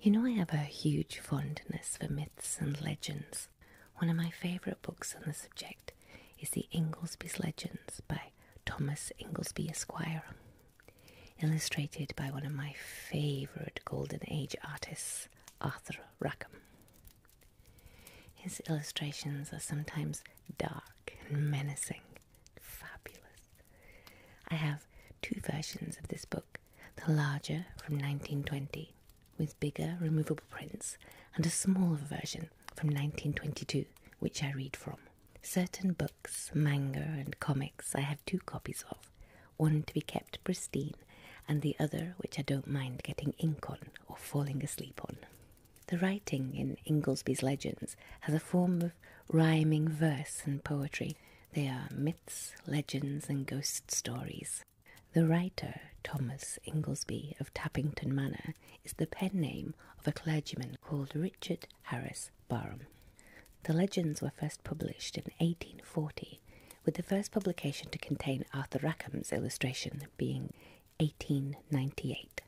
You know, I have a huge fondness for myths and legends. One of my favourite books on the subject is The Inglesby's Legends by Thomas Inglesby, Esquire, illustrated by one of my favourite Golden Age artists, Arthur Rackham. His illustrations are sometimes dark and menacing, fabulous. I have two versions of this book the larger from 1920, with bigger removable prints, and a smaller version from 1922, which I read from. Certain books, manga, and comics I have two copies of, one to be kept pristine, and the other which I don't mind getting ink on or falling asleep on. The writing in Ingoldsby's Legends has a form of rhyming verse and poetry they are myths, legends, and ghost stories. The writer, Thomas Inglesby of Tappington Manor, is the pen name of a clergyman called Richard Harris Barham. The legends were first published in 1840, with the first publication to contain Arthur Rackham's illustration being 1898.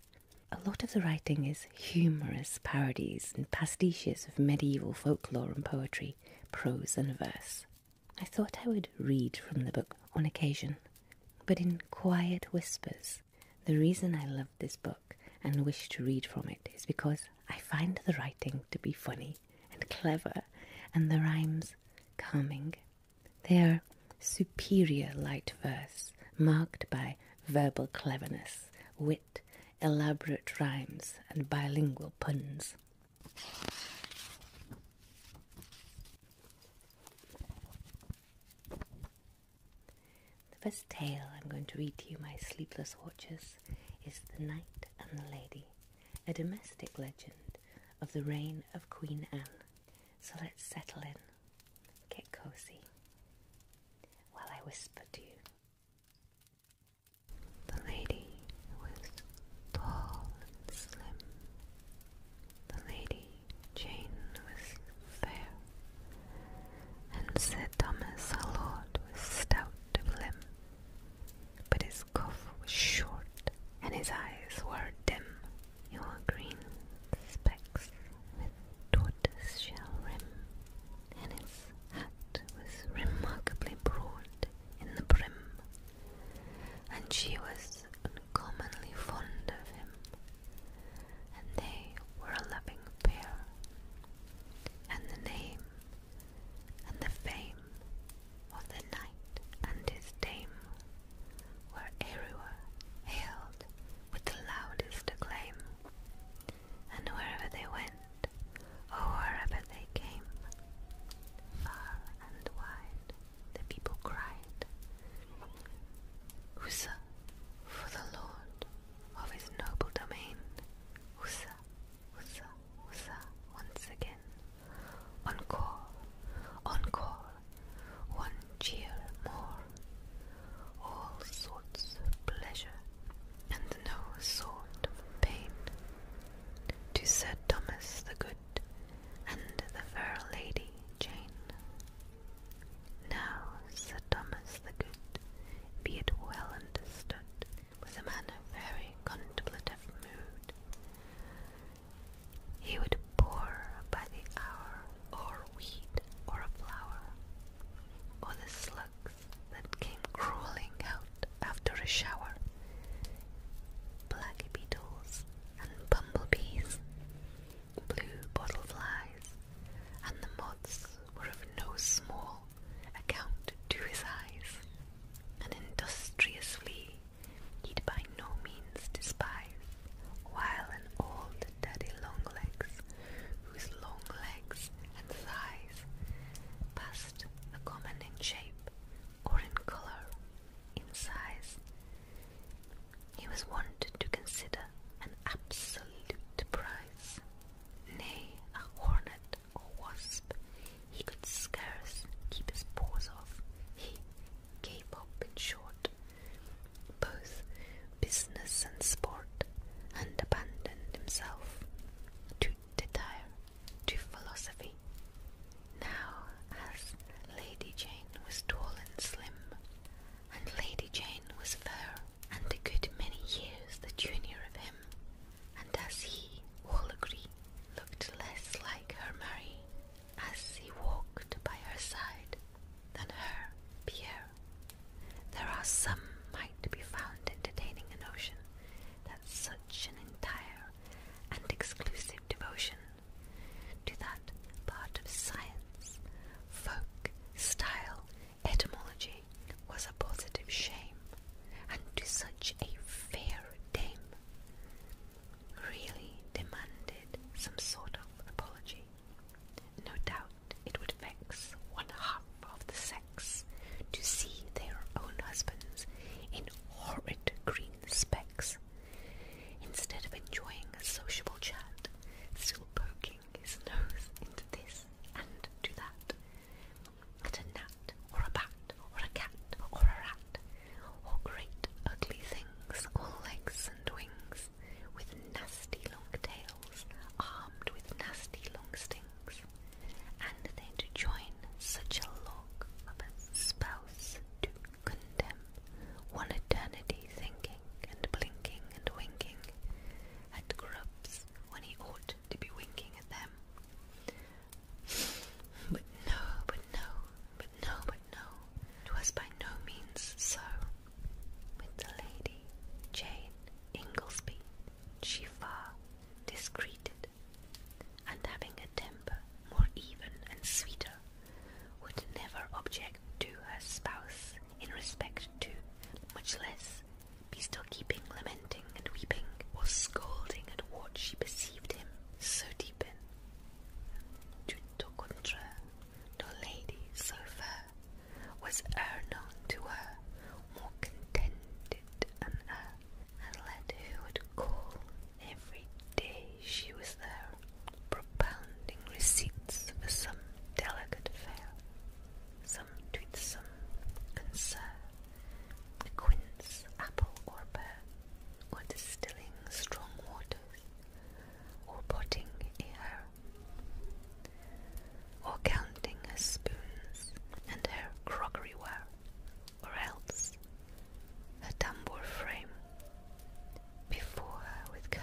A lot of the writing is humorous parodies, and pastiches of medieval folklore and poetry, prose and verse. I thought I would read from the book on occasion, but in quiet whispers. The reason I love this book and wish to read from it is because I find the writing to be funny and clever, and the rhymes calming. They are superior light verse, marked by verbal cleverness, wit, elaborate rhymes, and bilingual puns. The first tale I'm going to read to you, my sleepless watchers, is The Night and the Lady, a domestic legend of the reign of Queen Anne. So let's settle in, get cozy, while I whisper to you. The lady was tall and slim. The lady Jane was fair. And Sir Thomas our Lord was stout of limb. But his cuff was short, and his eyes were dim. Your green specks with tortoise shell rim and his hat was remarkably broad in the brim, and she was uncommonly fond of him, and they were a loving pair. And the name and the fame of the knight and his dame were everywhere hailed with the loudest acclaim and wherever they went, or wherever they came, far and wide, the people cried, Usa for the lord of his noble domain, Usa, Usa, Usa, once again, on call, one cheer more, all sorts of pleasure and no sort of pain, to Sir Thomas the Good and the fair lady Jane. Now Sir Thomas the Good, be it well understood, was a man of very contemplative mood. He would pore by the hour, or weed, or a flower, or the slugs that came crawling out after a shower. Black beetles and bumblebees, blue bottleflies, and the moths were of no small account to his eyes. An industrious flea he'd by no means despise, while an old daddy longlegs, whose long legs and size, past the common in shape or in color, in size. He was wanted to consider an absolute prize. Nay, a hornet or wasp, he could scarce keep his paws off. He gave up, in short, both business and sport, and abandoned himself to satire, to philosophy. Now, as Lady Jane was tall and slim, and Lady Jane was fair, and a good many years the junior of him, and as he, all agree, looked less like her Mary as he walked by her side than her Pierre. There are some might be found entertaining a notion that such an entire and exclusive devotion to that part of science, folk, style, etymology was a positive shame, and to such a fair dame really demanded some sort of apology. No doubt it would vex one half of the sex to see their own husbands in horrid green specks, instead of enjoying a sociable chat, still poking his nose into this and to that, at a gnat or a bat or a cat or a rat, or great ugly things, all legs and wings, with nasty long tails armed with nasty long stings, and they to join such a lock of a spouse to condemn one eternity thinking and blinking and winking at grubs when he ought to be winking at them. But no, but no, but no, but no, twas by no means so with the lady Jane Inglesby, Shiva discreted, and having a temper more even and sweeter, would never object to her spouse in respect to, much less be still keeping, lamenting and weeping, or scolding at what she perceived him so deep in. Tutto contra, no lady so fair was e'er to her, more contented and her, and who would call every day she was there, propounding receipts for some delicate fare, some toothsome concern, a quince, apple, or pear, or distilling strong waters, or potting a or counting her spoons and her crockeryware, or else a tambour frame before her with care,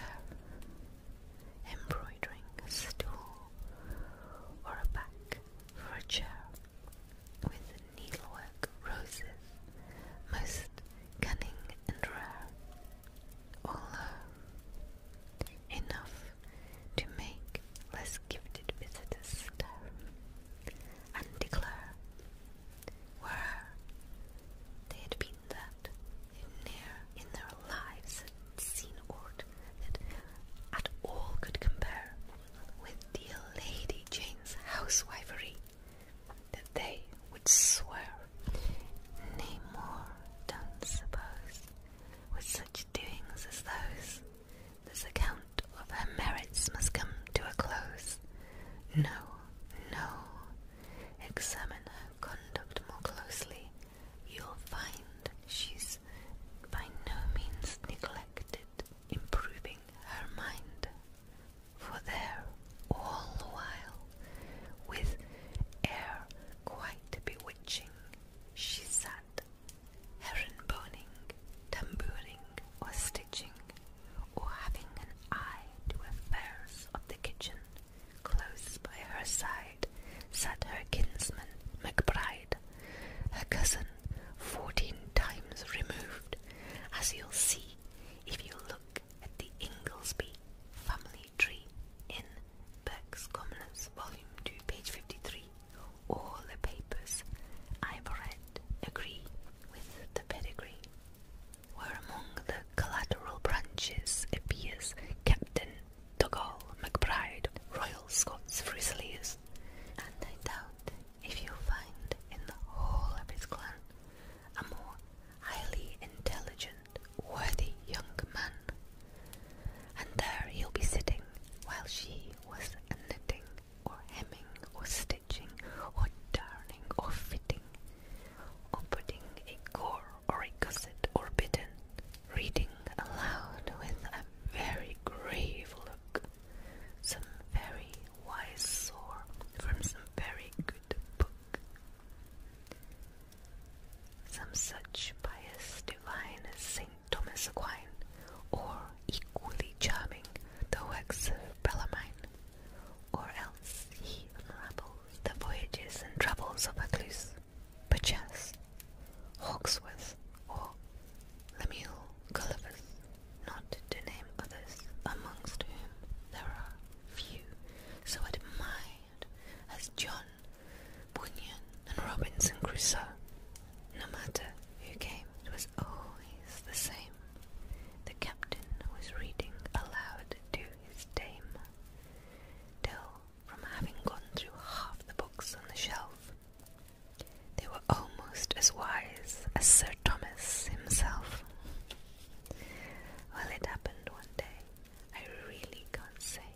embroidering a stool or a back for a chair with needlework roses most cunning and rare. All her enough to make less gifted visitors and declare where they had been that in their lives had seen aught that at all could compare with dear Lady Jane's housewifery, that they would swear, nay more, done suppose, with such doings as those, this account of her merits must come to a close. No, no. Examine her conduct more closely. You'll find she's by no means neglected improving her mind. For there, all the while, with air quite bewitching she sat herring-boning, tambouring or stitching, or having an eye to affairs of the kitchen. Close by her side sat her kinsman McBride, her cousin fourteen times removed, as you'll see if you look at the Inglesby family Tree in Burke's Commoners, Volume 2, page 53. All the papers I've read agree with the pedigree. Where among the collateral branches appears Captain Dogal McBride, Royal Scots Fusiliers, and I doubt if you find in the whole of his clan a more highly intelligent worthy young man. And there he'll be sitting while she was knitting, or hemming, or stitching, or darning, or fitting, or putting a gore or a gusset or a bitten, reading aloud with a very grave look some very wise saw from some very good book. Some such pious divine as St. Thomas Aquine, or equally charming the works of Bellarmine, or else he unravels the voyages and travels of Acluse, Purchas, Hawksworth, or Lemuel Gullivers, not to name others, amongst whom there are few so admired as John Bunyan and Robinson Crusoe. No matter who came, it was always the same. The captain was reading aloud to his dame, till, from having gone through half the books on the shelf, they were almost as wise as Sir Thomas himself. Well, it happened one day I really can't say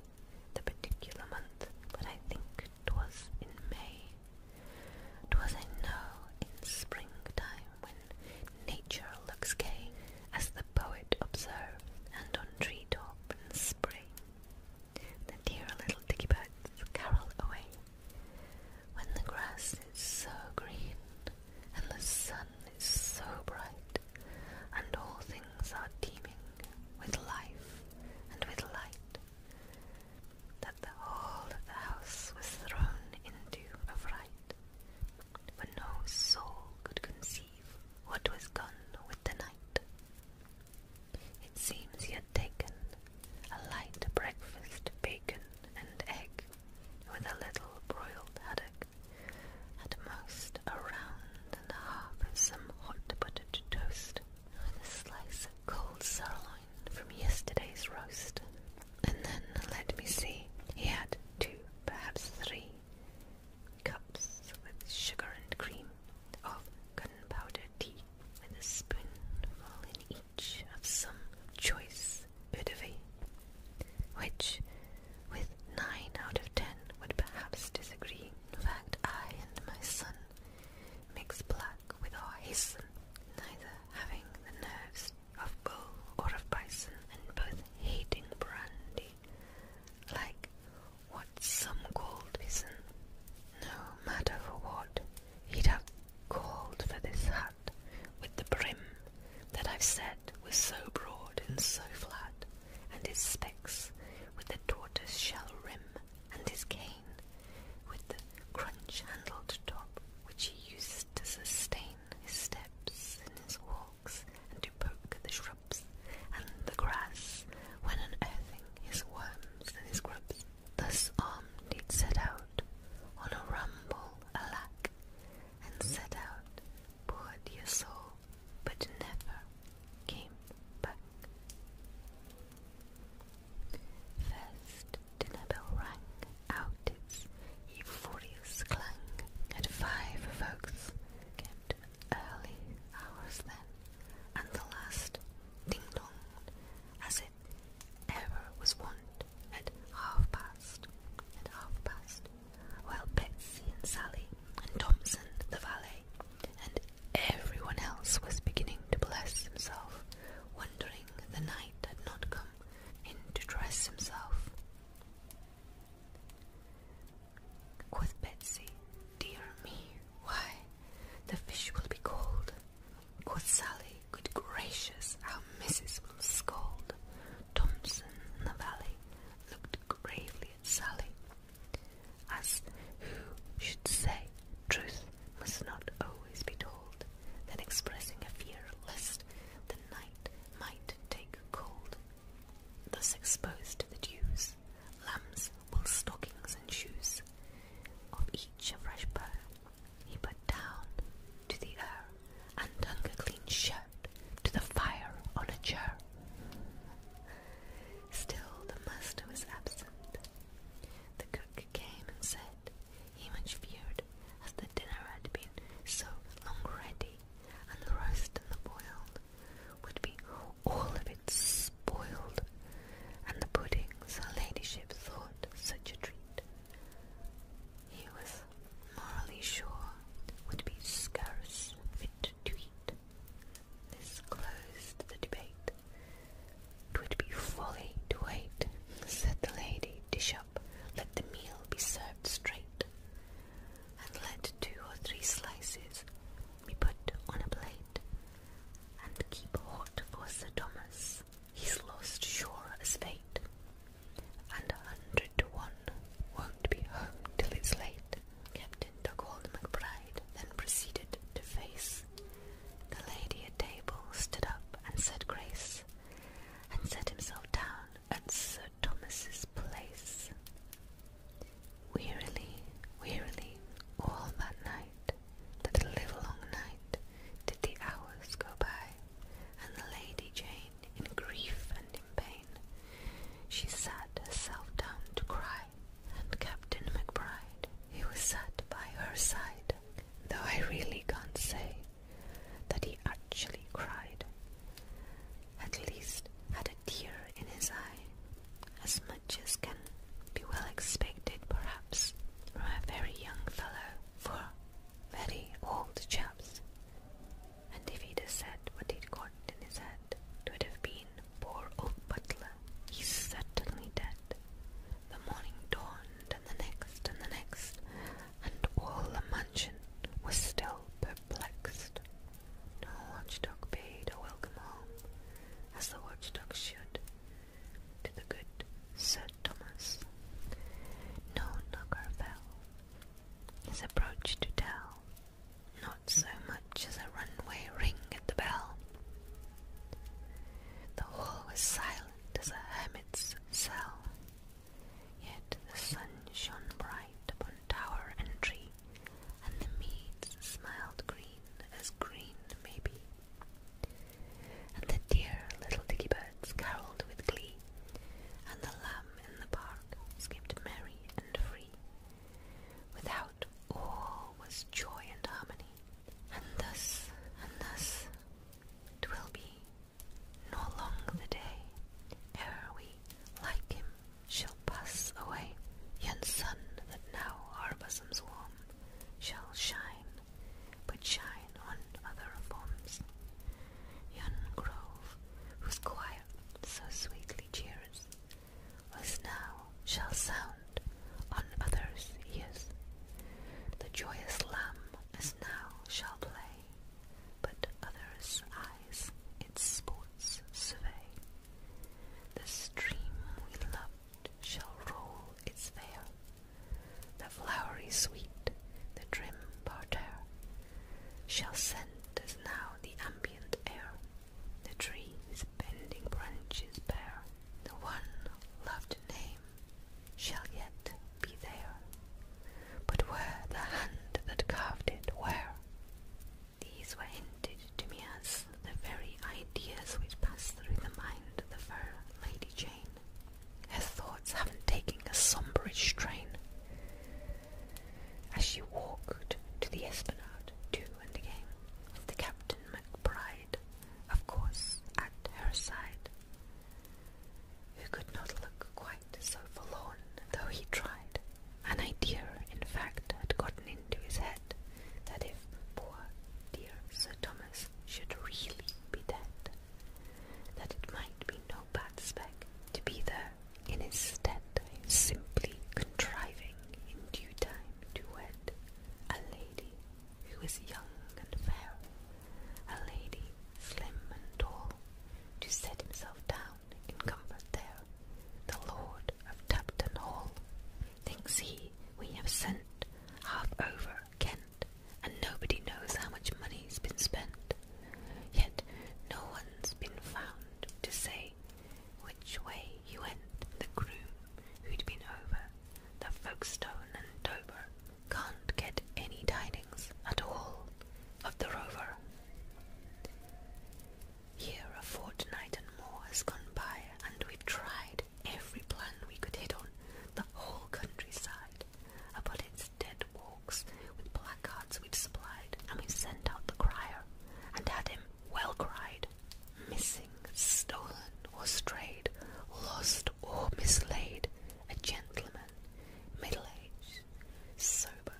the particular month, but I think it was in May. It was, I know, in springtime when nature looks gay, as the poet observed, and on treetop and spring, The dear little dicky birds carol away. When the grass is so green and the sun is so bright, and all things are teeming with life and with light, that the whole of the house was thrown into a fright, for no soul could conceive what was gone with the night. It seems he had taken a light breakfast, bacon and egg, with a little broiled haddock, at most a round and a half of some hot buttered toast, and a slice of cold sirloin from yesterday's roast. And then, let me see, he had two, perhaps three, cups with sugar and cream of gunpowder tea, with a spoonful in each of some choice eau de vie, which, with nine out of ten would perhaps disagree. In fact, I and my son mix black with our his neither having the nerves of bull or of bison, and both hating brandy, like what some called bison. No matter for what, he'd have called for this hat with the brim that I've said was so broad and so flat and his specs with the tortoise-shell rim, and his cane with the crunch-handled top, which he uses to sustain his steps in his walks and to poke the shrubs and the grass when unearthing his worms and his grubs. Thus armed, he'd set out on a rumble, alack, and set out poured your soul, but never came back. First, dinner bell rang out its euphorious clang, and five folks kept early hours then, and the last ding-donged as it ever was wont at half-past, at half-past, while Betsy and Sally and Thompson, the valet, and everyone else was beginning to bless himself, wondering the knight had not come in to dress himself. Quoth Betsy, Dear me, why, the fish will be cold. Quoth Sally, Good gracious, our missus will scold. Thompson in the valley looked gravely at Sally. As who should say, truth must not always be told, then expressing a fear lest the night might take cold. Thus exposed to the dews, lambs wool stockings and shoes, of each a fresh pair he put down to the earth and hung a clean shirt to the fire on a chair. Still the master was absent. The cook came and said he much feared, as the dinner had been so long ready, and the roast and the boiled would be all of it spoiled, and the puddings her ladyship thought such a treat. He was morally sure would be scarce fit to eat. This closed the debate. "'Twould be folly to wait," said the lady. "Dish up, let the meal be served straight, and let two or three slices be put on a plate, and keep hot for Sir Thomas. He's lost sure as fate, and a hundred to one to be home till it's late, Captain Dugald McBride then proceeded to face. The lady at table stood up and said grace, and set himself down at Sir Thomas's place. Wearily, wearily, all that night, that livelong night, did the hours go by, and the Lady Jane, in grief and in pain, she sat herself down to cry and Captain McBride. He was sat by her side, though I really can't say that he actually cried. At least had a tear in his eye, as much as can be well expected, perhaps, from a very young fellow, for very old chaps and if he'd have said what he'd got in his head, it would have been poor old butler, he's certainly dead. The morning dawned, and the next, and the next, and all the mansion was still perplexed. No watchdog bade a welcome home, as the watchdog should, to the good Sir Thomas. No knocker fell, his approach to tell, not so much as a runaway ring at the bell. The hall was silent as a hermit's cell, yet the sun shone bright upon tower and tree, and the meads smiled green as green may be. And the dear little dicky birds caroled with glee, and the lamb in the park skipped merry and free Without all was joy and harmony, and thus, and thus, twill be, nor long the day, ere we, like him, shall pass away. Yon sun that now our bosoms warm shall shine, but shine on other forms. Yon grove, whose quiet so sweetly cheers, was now shall sound on others' ears. The joyous lamb as now shall play, but others' eyes its sports survey. The stream we loved shall roll its veil, the flowery sweet, the trim parterre, shall scent as now the ambient air. The tree with bending branches bare, the one loved name shall yet be there. But where the hand that carved it, where? These were hinted to me as the very ideas which passed through the mind of the fair Lady Jane. Her thoughts haven't taken a somberish strain as she walked to the esplanade to and again, with the Captain McBride, of course, at her side, who could not look quite so forlorn, though he tried. An idea, in fact, had gotten into his head that if poor dear Sir Thomas should really be dead, that it might be no bad spec to be there and instead is simply contriving in due time to wed a lady who is young and fair, a lady slim and tall, to set himself down in comfort there. The Lord of Tubton Hall thinks he we have sent half over Kent, and nobody knows how much money's been spent. Yet no one's been found to say which way you went, the groom who'd been over, the Folkestone and Dover, can't get any tidings at all of the rover. Here a fortnight and more has gone by, and we've tried every plan we could hit on the whole countryside upon its dead walks with placards we've supplied, and we've sent out the crier and had him well cried, missing, stolen, or strayed, lost, or mislaid, a gentleman, middle aged, sober,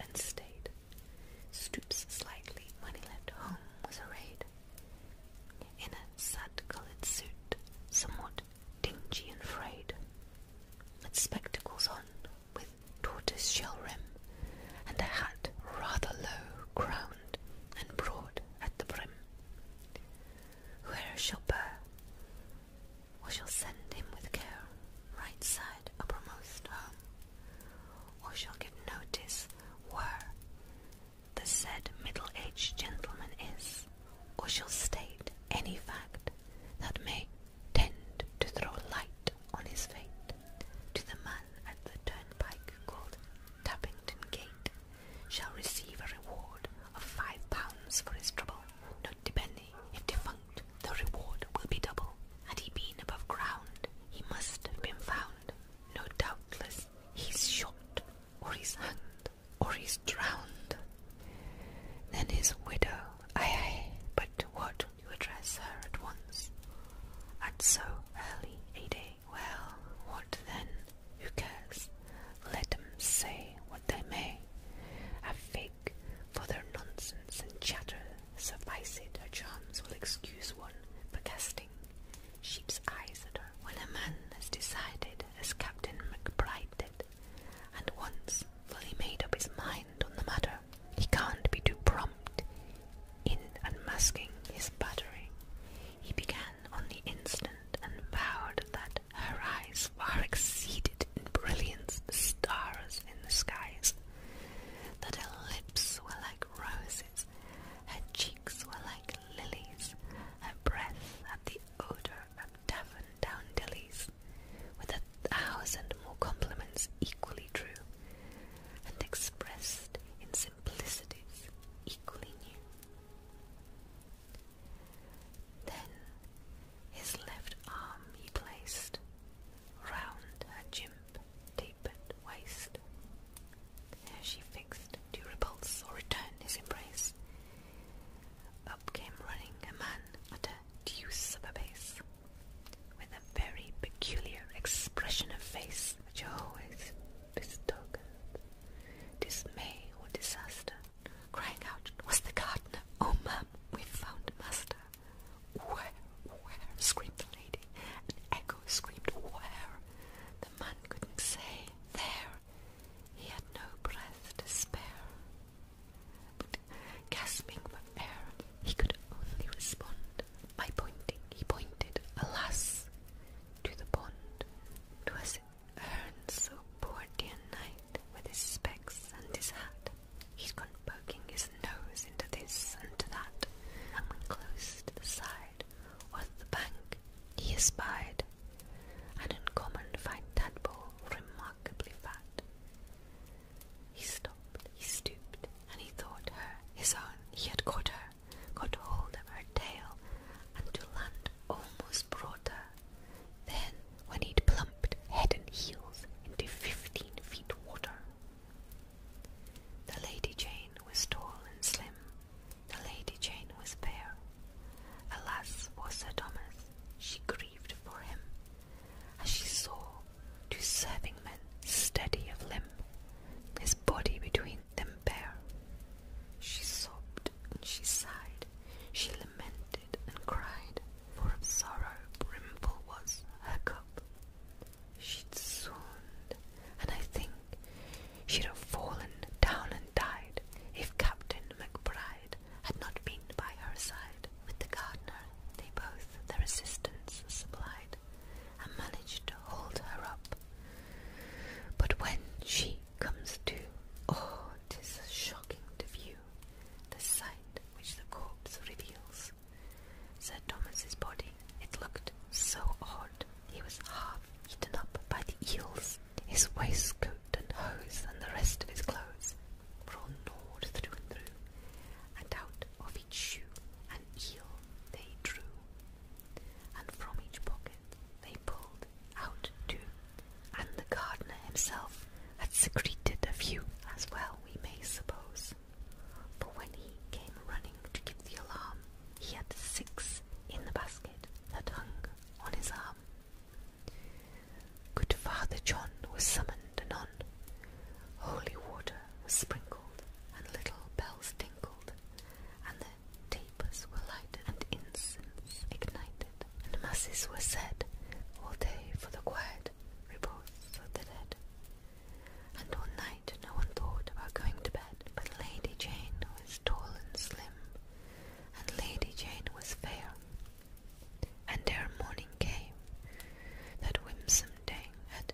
and staid, stoops slightly when he left home was arrayed in a sad coloured suit, somewhat dingy and frayed, with spectacles on, with tortoise shell rim, and a hat rather low, crowned, and broad at the brim. Whoe'er shall bear, or shall send him with care, right side uppermost or shall give notice where the said middle aged gentleman is, or shall state any fact that may tend to throw light on his fate to the man at the turnpike called Tappington Gate shall receive a reward of five pounds for his trouble, not depending if defunct, the reward will be double. Had he been above ground, he must have been found. No doubtless he's shot, or he's hanged, or he's drowned. Then his widow, aye, aye, but what to address her at once. At so early a day. Well, what then? Who cares? Let them say what they may. A fig for their nonsense and chatter. Suffice it, her charms will excuse one for casting sheep's eyes at her. When a man has decided, as Captain MacBride did, and once fully made up his mind, on the matter. He can't be too prompt in unmasking his battery. He began on the instant and vowed that her eyes far exceeded in brilliance the stars in the skies, that her lips were like roses, her cheeks were like lilies, her breath had the odor of Devon down dillies. With a thousand more compliments equally true and expressed in simplicities equally new. Then his left arm he placed round her chimp tapered waist. There she fixed to repulse or return his embrace. Up came running a man at a deuce of a pace with a very peculiar expression of face which always betokened dismay or disaster, crying out, "Was the gardener? Oh, ma'am, we've found master!" Where, where? screamed the lady. and echo screamed, "Where?" The man couldn't say. There, he had no breath to spare gasping for air, he could only respond by pointing. He pointed, alas, to the pond. Twas Ernst, so poor dear knight, with his specs and his hat. he has gone poking his nose into this and to that, and when close to the side or the bank, he espied an uncommon fine tadpole, remarkably fat. He stopped, he stooped, and he thought her his own. He had caught her, got hold of her tail, and to land almost brought her. Then, when he'd plumped head and heels into fifteen feet water. The Lady Jane was tall and slim. The Lady Jane was fair. Alas for Sir Thomas, she grieved for him, as she saw two serving men steady of limb, his body between them bare. She sobbed and she sighed, she lamented and cried, for of sorrow brimful was her cup. She'd swooned, and I think she'd have fallen down and died if Captain MacBride had not been by her side. With the gardener, they both their assistance supplied, and managed to hold her up. But when she comes to, oh, it is shocking to view the sight which the corpse reveals. Sir Thomas's body, it looked so odd. He was half eaten up by the eels. His waistcoat and hose and the rest of his clothes drawn Nord through and through, and out of each shoe an eel they drew, and from each pocket they pulled out two, and the gardener himself had secreted a few, as well we may suppose, for when he came running to give the alarm, he had six in the basket that hung on his arm. Good Father John was summoned and anon holy water was sprinkled, and little bells tinkled, and the tapers were lighted, and incense ignited, and masses were said all day for the quiet repose of the dead. And all night no one thought about going to bed, but Lady Jane was tall and slim, and Lady Jane was fair, and their morning came, that winsome dame had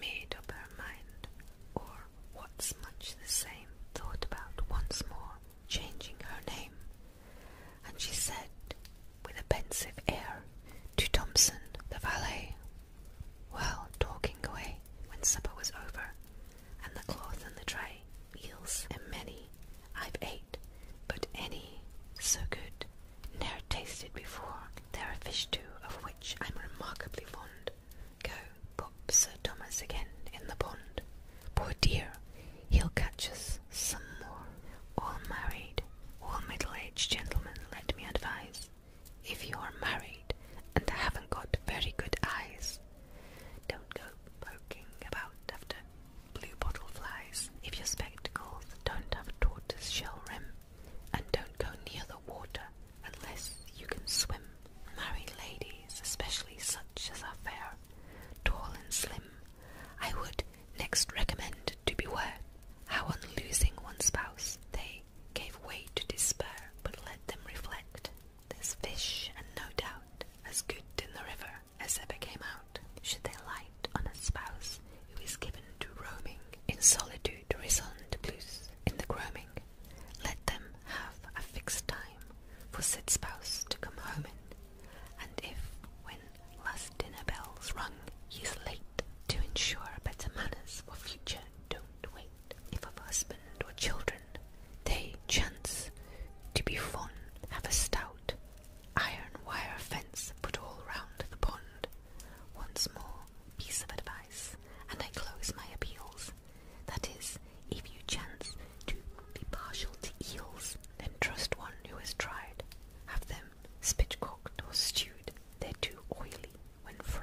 made up her mind, or what's much the same, thought about once more changing her name, and she said with a pensive air to Thompson the valet, while talking away when supper was over, and the cloth and the tray, meals and many I've ate, but any so good Never tasted before. There are fish too, of which I'm remarkably fond. Go, pop Sir Thomas again in the pond. Poor dear, he'll catch us some more. All married, all middle-aged gentlemen, let me advise. If you are married and haven't got very good eyes, don't go poking about after blue bottle flies. If your spectacles don't have a tortoise shell rim, and don't go near the water unless you can swim. Married ladies, especially such as are fair, tall and slim, I would next recommend to beware how on losing one spouse they gave way to despair, but let them reflect. There's fish, and no doubt as good in the river as ever came out should they light on a spouse who is given to roaming in solitude, resonant in the groaning. Let them have a fixed time for said spouse to come home in, and if when last dinner bells rung he is late, to ensure better manners for future, don't wait. If of husband or children they chance to be fond, have a stout Iron wire fence put all round the pond. Once more, piece of advice, and I close my appeals. That is, if you chance to be partial to eels, then trust one who has tried. Have them spitcocked or stewed. They're too oily when fried.